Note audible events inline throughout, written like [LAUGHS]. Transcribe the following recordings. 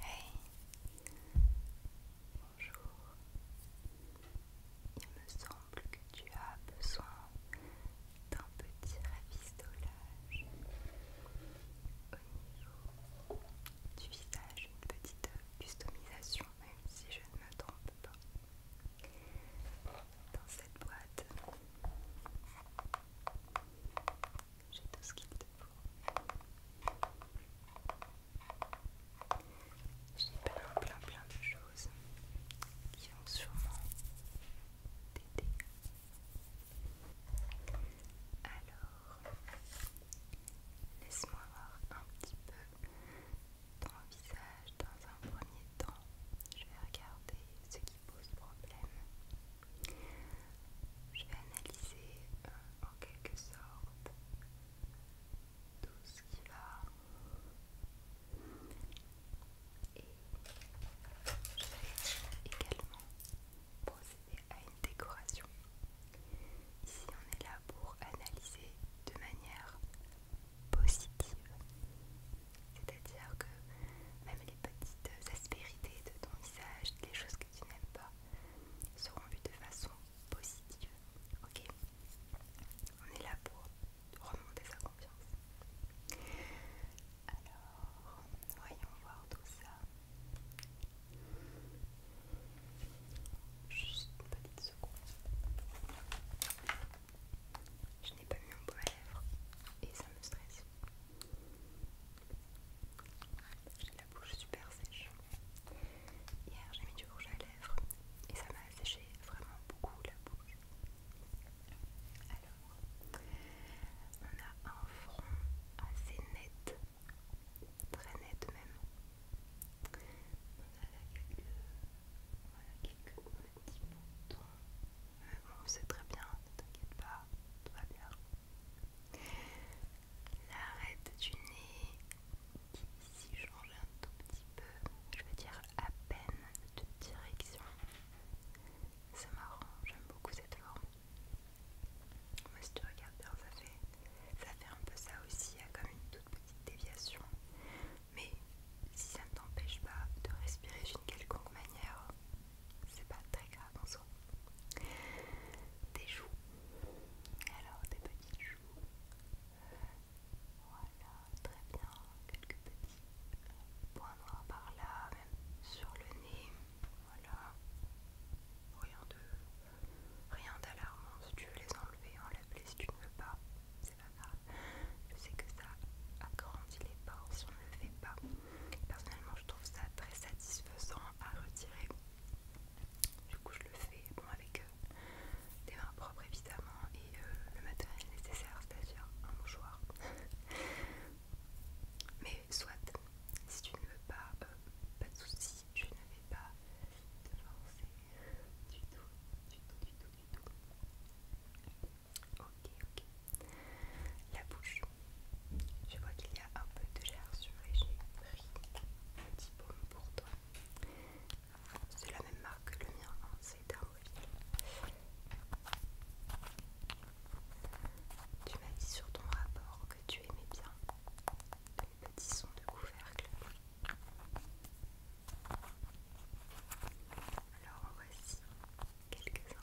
Hey, bonjour. Il me semble que tu as besoin d'un petit ravistolage au niveau du visage, une petite customisation, même si je ne me trompe pas. Dans cette boîte, j'ai tout ce qu'il te faut. J'ai plein plein plein de choses qui vont sûrement t'aider. Alors, laisse-moi voir un petit peu ton visage dans un premier temps. Je vais regarder ce qui pose problème. Je vais analyser euh, en quelque sorte tout ce qui va et je vais également procéder à une décoration. Ici on est là pour analyser de manière positive, c'est-à-dire que même les petites euh, aspérités de ton visage, des choses que tu n'aimes pas, seront vues de façon positive. Ok On est là pour remonter sa confiance. Alors, voyons voir tout ça. Juste une petite seconde. Je n'ai pas mis mon bout à lèvres et ça me stresse. J'ai la bouche super sèche. Hier, j'ai mis du rouge à lèvres et ça m'a séché vraiment beaucoup la bouche. Alors, on a un front assez net, très net même. On a là quelques, petits boutons. On euh, bon, c'est très bien, ne t'inquiète pas, tout va bien. L'arête du nez qui ici change un tout petit peu, je veux dire à peine de direction. C'est marrant, j'aime beaucoup cette forme. Moi si tu regardes bien, ça fait, ça fait un peu ça aussi, il y a comme une toute petite déviation. Mais si ça ne t'empêche pas de respirer d'une quelconque manière, c'est pas très grave regarde Des joues. Alors, des petites joues. Euh, voilà, très bien. Quelques petits euh, points noirs par là, même sur le nez. Voilà. Rien d'alarmant. Si tu veux les enlever, enlever Si tu ne veux pas, c'est Je sais que ça agrandit les pores si on ne le fait pas personnellement, je trouve ça très satisfaisant à retirer. Du coup, je le fais bon, avec euh, des mains propres évidemment et euh, le matériel nécessaire, c'est-à-dire un mouchoir. [LAUGHS] Mais soit, si tu ne veux pas, euh, pas de soucis, je ne vais pas te forcer du tout, du tout, du tout, du tout. Ok, ok. La bouche. Je vois qu'il y a un peu de sur et j'ai pris un petit baume pour toi. C'est la même marque que le mien, hein. c'est c'est mobile Tu m'as dit sur ton rapport que tu aimais bien les petit son de couvercle. Alors voici quelques-uns.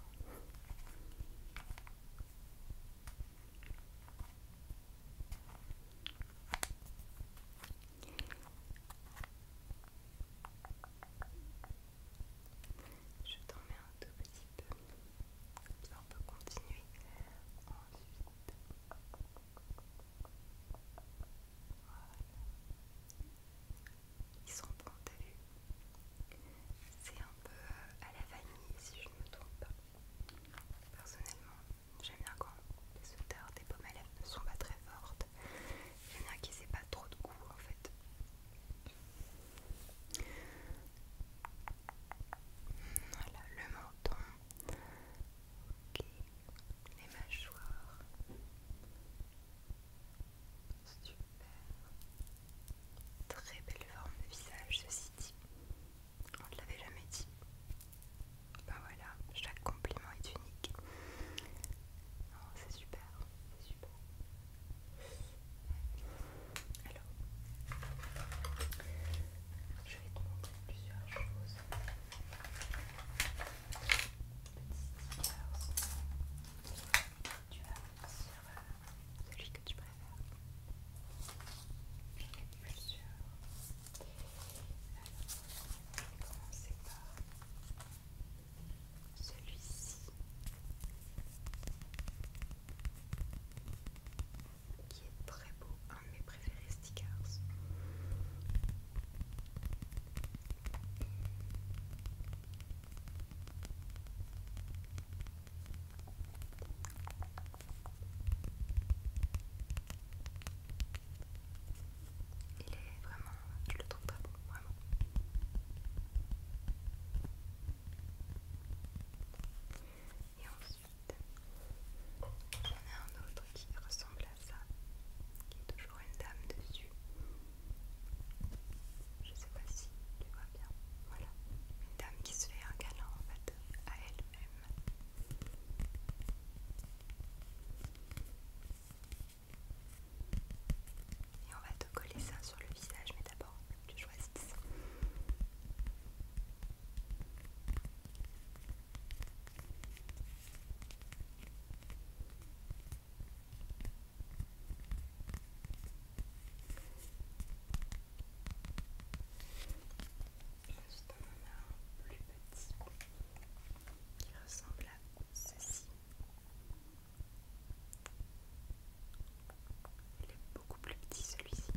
Je t'en mets un tout petit peu. On peut continuer ensuite. Voilà ils sont bons, t'as vu C'est un peu euh, à la vanille si je ne me trompe pas. Personnellement, j'aime bien quand les odeurs des pommes à lèvres ne sont pas très fortes. J'aime bien qu'ils aient pas trop de goût en fait. Voilà, le menton. Ok, les mâchoires. Super. Très belle forme de visage, ceci dit. On ne l'avait jamais dit. Bah voilà, chaque compliment est unique. Non, oh, c'est super, c'est super. Alors, je vais te montrer plusieurs choses. Petit stickers. Tu as celui que tu préfères. Il sûr. plus Alors, on commencer par celui-ci qui est très beau, un de mes préférés stickers. Il est vraiment, je le trouve pas bon, vraiment. Et ensuite, on a un autre qui ressemble à ça, qui est toujours une dame dessus. Je sais pas si tu vois bien. Voilà. Une dame qui se fait un galant en fait à elle-même. Et on va te coller ça sur le visage, mais d'abord tu choisis ça. Ensuite, on en a un plus petit qui ressemble à ceci. Il est beaucoup plus petit celui-ci.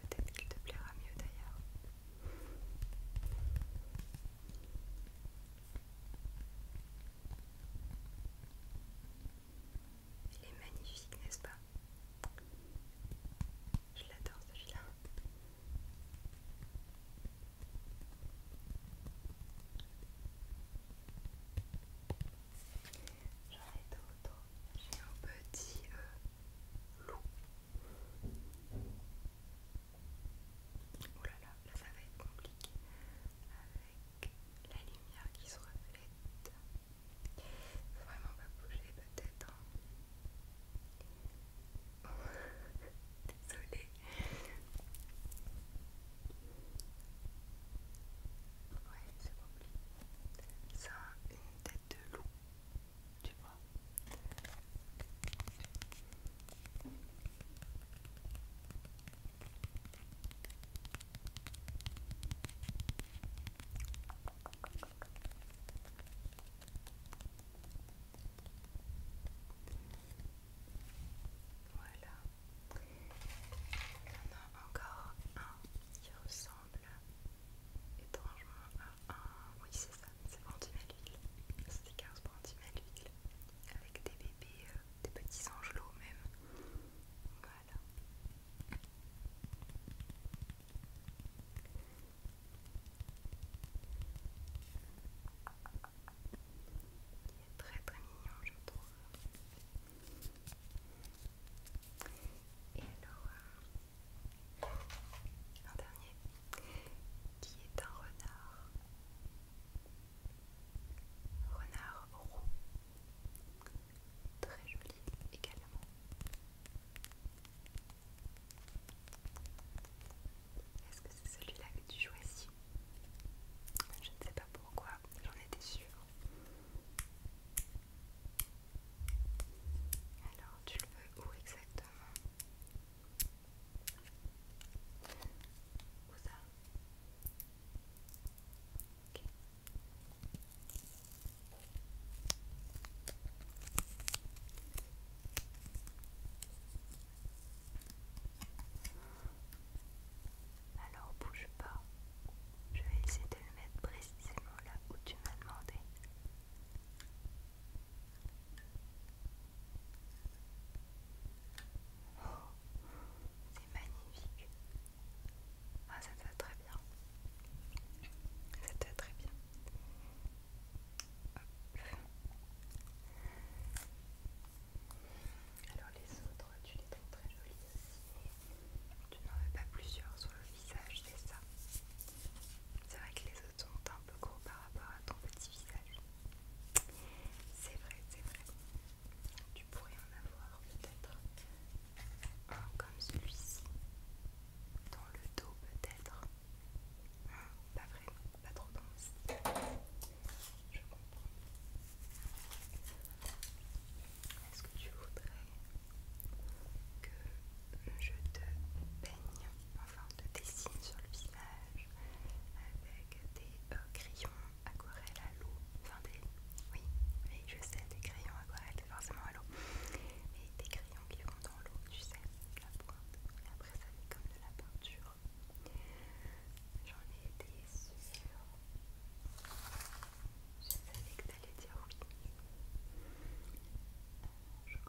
Peut-être qu'il te plaira mieux d'ailleurs. Il est magnifique, n'est-ce pas Je l'adore celui-là. J'en ai d'autres. J'ai un petit euh, loup. Oh là là, là ça va être compliqué avec la lumière qui se reflète. vraiment pas bouger peut-être. Hein. [LAUGHS] Désolée. Ouais, c'est compliqué. Ça a une tête de loup, tu vois. Voilà. Il a encore un qui ressemble étrangement à un... Oui c'est ça, c'est 50 008. C'est 15 008 avec des bébés, euh, des petits angelots même. Voilà. Il est très très mignon je trouve. Et alors, euh, un dernier qui est un renard renard roux, très joli également. Est-ce que c'est celui-là que tu choisis Je ne sais pas pourquoi, j'en étais sûre. Alors, tu le veux où exactement alors bouge pas, je vais essayer de le mettre précisément là où tu m'as demandé. Oh, c'est magnifique. Ah, ça te va très bien. Ça te va très bien. Alors les autres, tu les trouves très jolies aussi. Tu n'en veux pas plusieurs sur le visage, c'est ça. C'est vrai que les autres sont un peu gros par rapport à ton petit visage. C'est vrai, c'est vrai. Tu pourrais en avoir peut-être un comme celui-ci. Dans le dos peut-être. Hein, pas vrai, pas trop dense, Je comprends. Est-ce que tu voudrais que je te peigne, enfin te dessine sur le visage avec des euh, crayons aquarelles à l'eau. Enfin, des. Oui, oui, je sais, des crayons aquarelles, forcément à l'eau. et des crayons qui vont dans l'eau, tu sais, la pointe. Et après, ça fait comme de la peinture. J'en ai été sûre. Je savais que t'allais dire oui. Euh,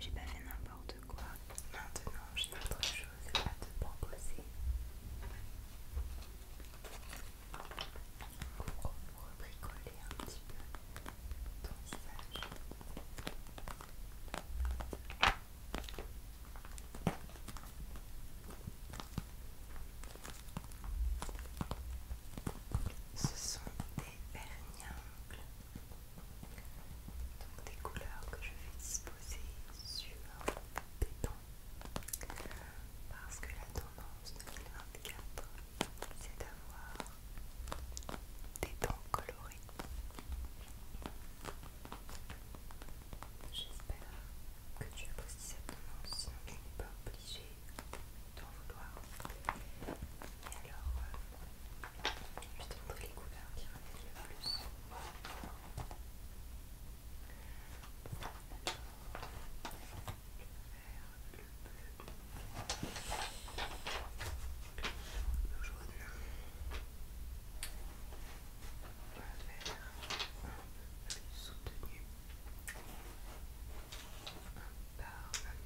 J'ai pas fait n'importe quoi. Maintenant, j'ai autre chose à te proposer. Pour bricoler un petit peu ton visage. Ce sont des vernis donc des couleurs que je vais disposer sur des dents parce que la tendance 2024 c'est d'avoir des tons colorés. J'espère que tu apprécies cette tendance, sinon tu n'es pas obligé d'en vouloir. Et alors, euh, je je te montrer les couleurs qui reviennent le plus. Alors, le vert, le bleu, le jaune, on va faire un peu plus soutenu on parle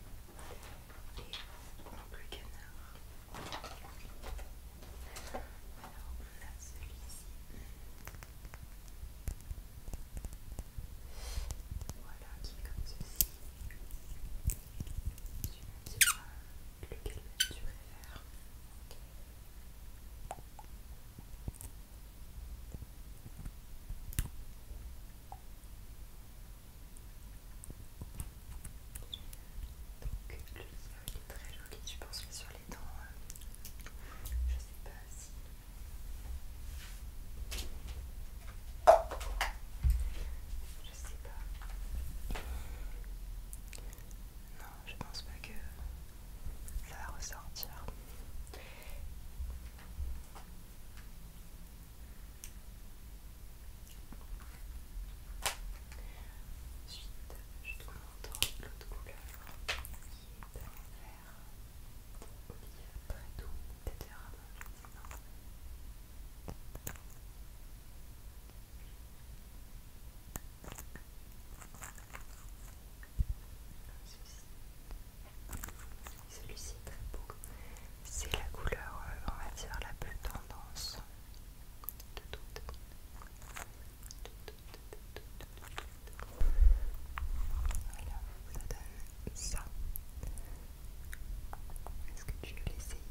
et plus le canard alors on a celui-ci voilà qui est comme ceci tu me diras Lequel tu préfères donc le livre il est très joli, tu penses sur les dents, je sais pas si... Je sais pas. Non, je pense pas que ça va ressortir. Ensuite, je te montre l'autre couleur qui est un vert olive très doux, etc. Celui-ci est beau. C'est la couleur, euh, on va dire, la plus tendance de toutes. Voilà, ça donne ça. Est-ce que tu veux l'essayer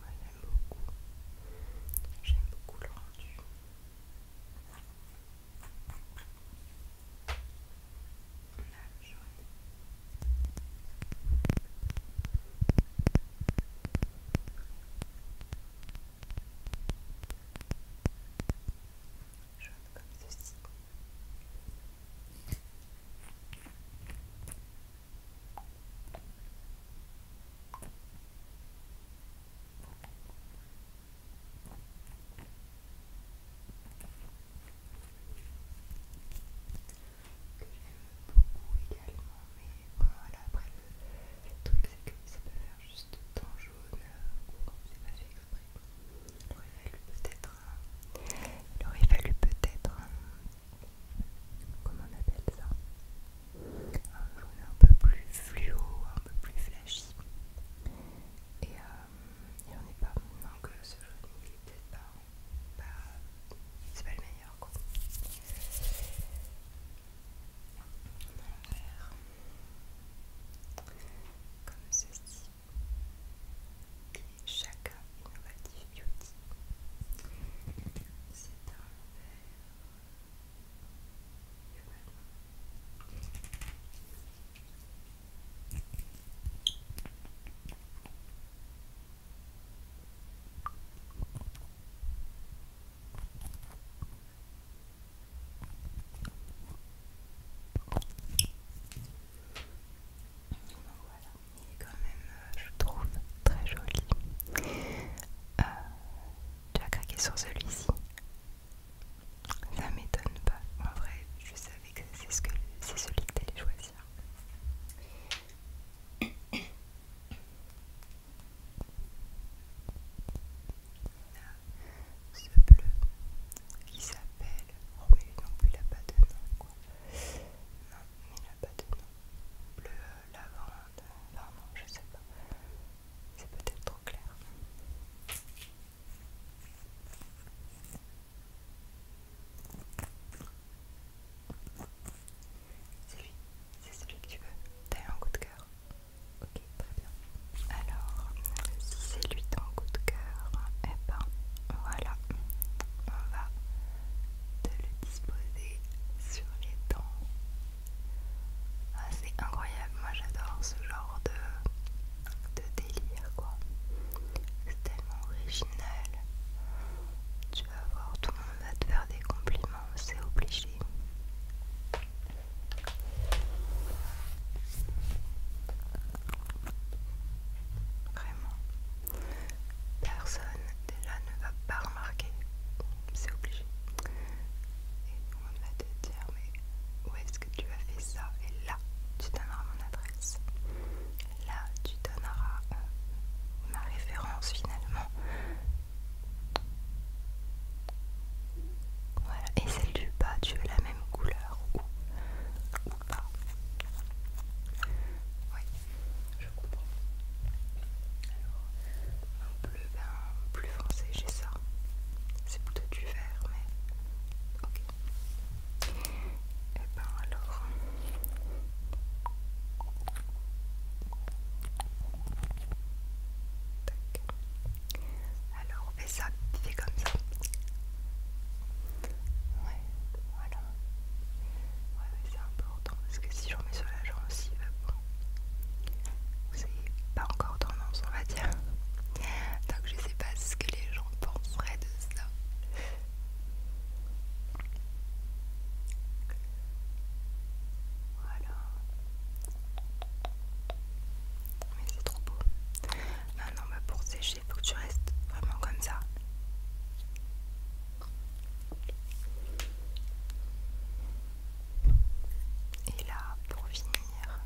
moi j'aime beaucoup. J'aime beaucoup le rendu jaune comme ceci. Que j'aime beaucoup également, mais voilà, après le, truc c'est que ça peut juste dans jaune euh, comme c'est pas fait exprès il aurait fallu peut-être il aurait fallu peut-être comment on appelle ça un jaune un peu plus fluo un peu plus flashy et il n'y en a pas donc ce jaune il est peut-être pas c'est pas le meilleur quoi un verre comme ceci et chacun innovatif, beauty c'est un verre voilà il est quand même, je trouve, très joli. Euh, tu as craqué sur celui-ci Ça m'étonne pas. En vrai, je savais que c'est ce que, celui que tu allais choisir. On ce bleu qui s'appelle. Oh, mais non il n'a pas de nom, quoi. Non, il n'a pas de nom. Bleu lavande. je je sais pas. C'est peut-être trop clair. C'est lui, c'est celui que tu veux. T'as un coup de cœur. Ok, très bien. Alors, c'est lui ton coup de cœur. Et eh ben, voilà. On va te le disposer sur les dents. Ah, c'est incroyable. Moi, j'adore ce genre de, de délire, quoi. C'est tellement original. Tu vas voir, tout le monde va te faire des compliments, c'est obligé. Vraiment, personne là ne va pas remarquer, c'est obligé. Et tout va te dire mais où est-ce que tu as fait ça Et là, tu donneras mon adresse. Là, tu donneras euh, ma référence finalement. Voilà, et celle du bas, tu veux la même couleur ou, ou pas Oui, je comprends. Alors, un bleu, ben, plus foncé, j'ai ça. C'est plutôt du vert, mais ok. Et eh ben alors, alors on fait ça, fait comme ça. Ouais, voilà. Ouais, c'est important parce que si j'en mets sur la gencive, bon, c'est pas encore tendance, on va dire. Donc je sais pas ce que les gens penseraient de ça. Voilà. Mais c'est trop beau. Ah non, non, bah, pour sécher, faut que tu restes vraiment comme ça. Et là, pour finir,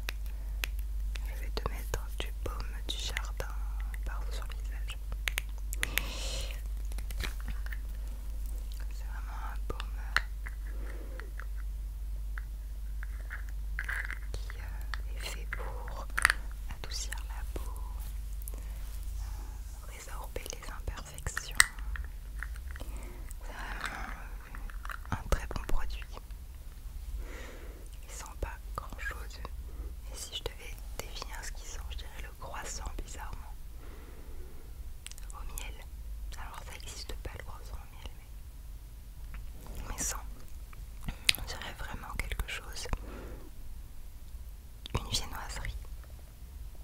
je vais te mettre du baume du jardin par partout sur le visage. C'est vraiment un baume qui euh, est fait pour adoucir la peau, euh, résorber les imperfections. C'est vraiment euh, un très bon produit. Il sent pas grand chose. Et si je devais définir ce qu'il sent, je dirais le croissant bizarrement au miel. Alors ça n'existe pas le croissant au miel, mais, sans. On dirait vraiment quelque chose. Une viennoiserie.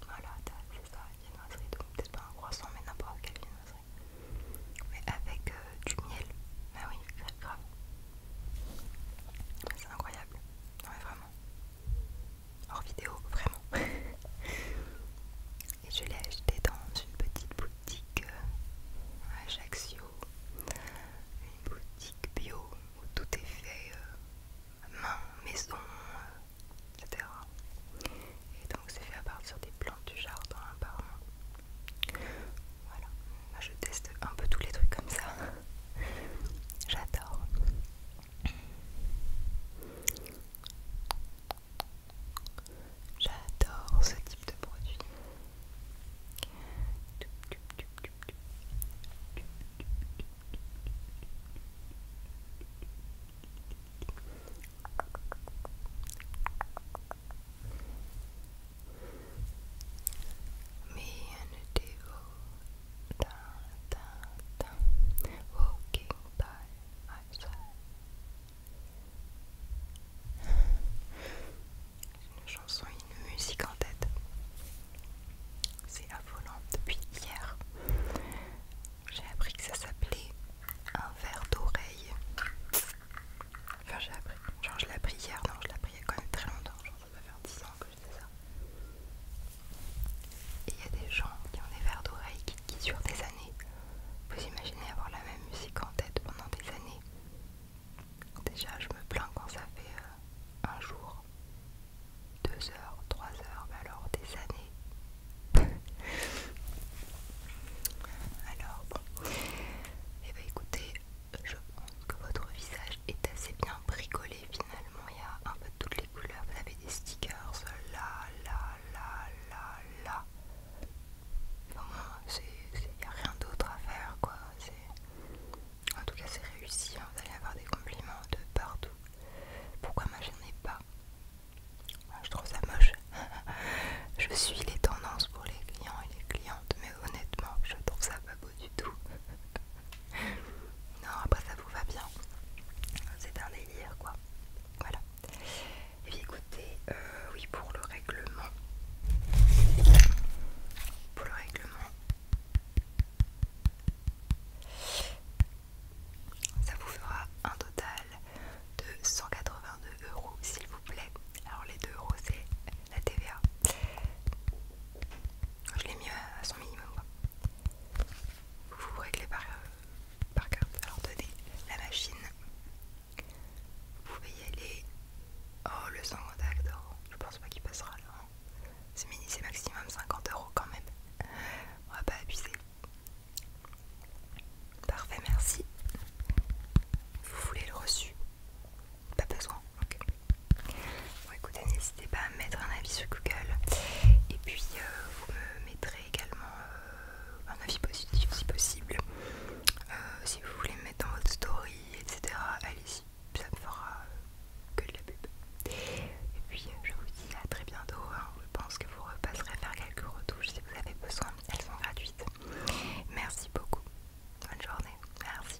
Voilà, c'est ça, une viennoiserie. Donc peut-être pas un croissant, mais n'importe quelle viennoiserie. Mais avec euh, du miel. Bah oui, grave. C'est incroyable. Non mais vraiment hors vidéo, vraiment. [LAUGHS] Et je l'ai acheté dans une petite boutique euh, à Ajaccio, une boutique bio où tout est fait euh, main, maison, euh, etc. Et donc c'est fait à partir des plantes du jardin apparemment. Voilà, je teste un peu tous les trucs comme ça. [LAUGHS] J'adore. I adore this type of produit. Me and a devil by Une chanson, et une musique en tête. C'est affolant depuis hier. J'ai appris que ça s'appelait un verre d'oreille. Enfin, j'ai appris. Genre, je l'ai appris hier. Non, je l'ai appris il y a quand même très longtemps. Genre, ça va faire 10 ans que et il y a des gens qui ont des verres d'oreilles qui, sur des années. Vous imaginez avoir la même musique en tête pendant des années Déjà, je me plains quand ça fait euh, un jour, deux heures, trois heures, alors des années. [LAUGHS] alors, bon. et eh ben, écoutez, je pense que votre visage est assez bien bricolé. Et finalement il y a un peu toutes les couleurs vous avez des stickers là là là là là bon il n'y a rien d'autre à faire quoi en tout cas c'est réussi hein. vous allez avoir des compliments de partout pourquoi moi j'en ai pas je trouve ça moche [LAUGHS] je suis les tendances pour les clients et les clientes mais honnêtement je trouve ça pas beau du tout [LAUGHS] [LAUGHS] non, après ça vous va bien. C'est un délire quoi. Voilà. Et puis, écoutez, euh, oui pour le règlement. Pour le règlement. Ça vous fera un total de 182 euros s'il vous plaît. Alors les 2 euros c'est la TVA. Je l'ai mis à son minimum. Quoi. Vous vous réglez par, euh, carte. Alors donnez la machine. Vous pouvez y aller. Oh, le sang contact, je pense pas qu'il passera là. Hein. C'est mini, c'est maximum 50 euros quand même. On va pas abuser. Parfait, merci. Vous voulez le reçu Pas besoin. Ok. Bon, écoutez, n'hésitez pas à mettre un avis sur Google et puis euh, vous me mettrez également euh, un avis positif si possible. Euh, si vous voulez me mettre dans votre story, etc., allez-y, ça me fera que de la pub. Et puis je vous dis à très bientôt. Hein. Je pense que vous repasserez faire quelques retouches si vous avez besoin, elles sont gratuites. Merci beaucoup. Bonne journée. Merci.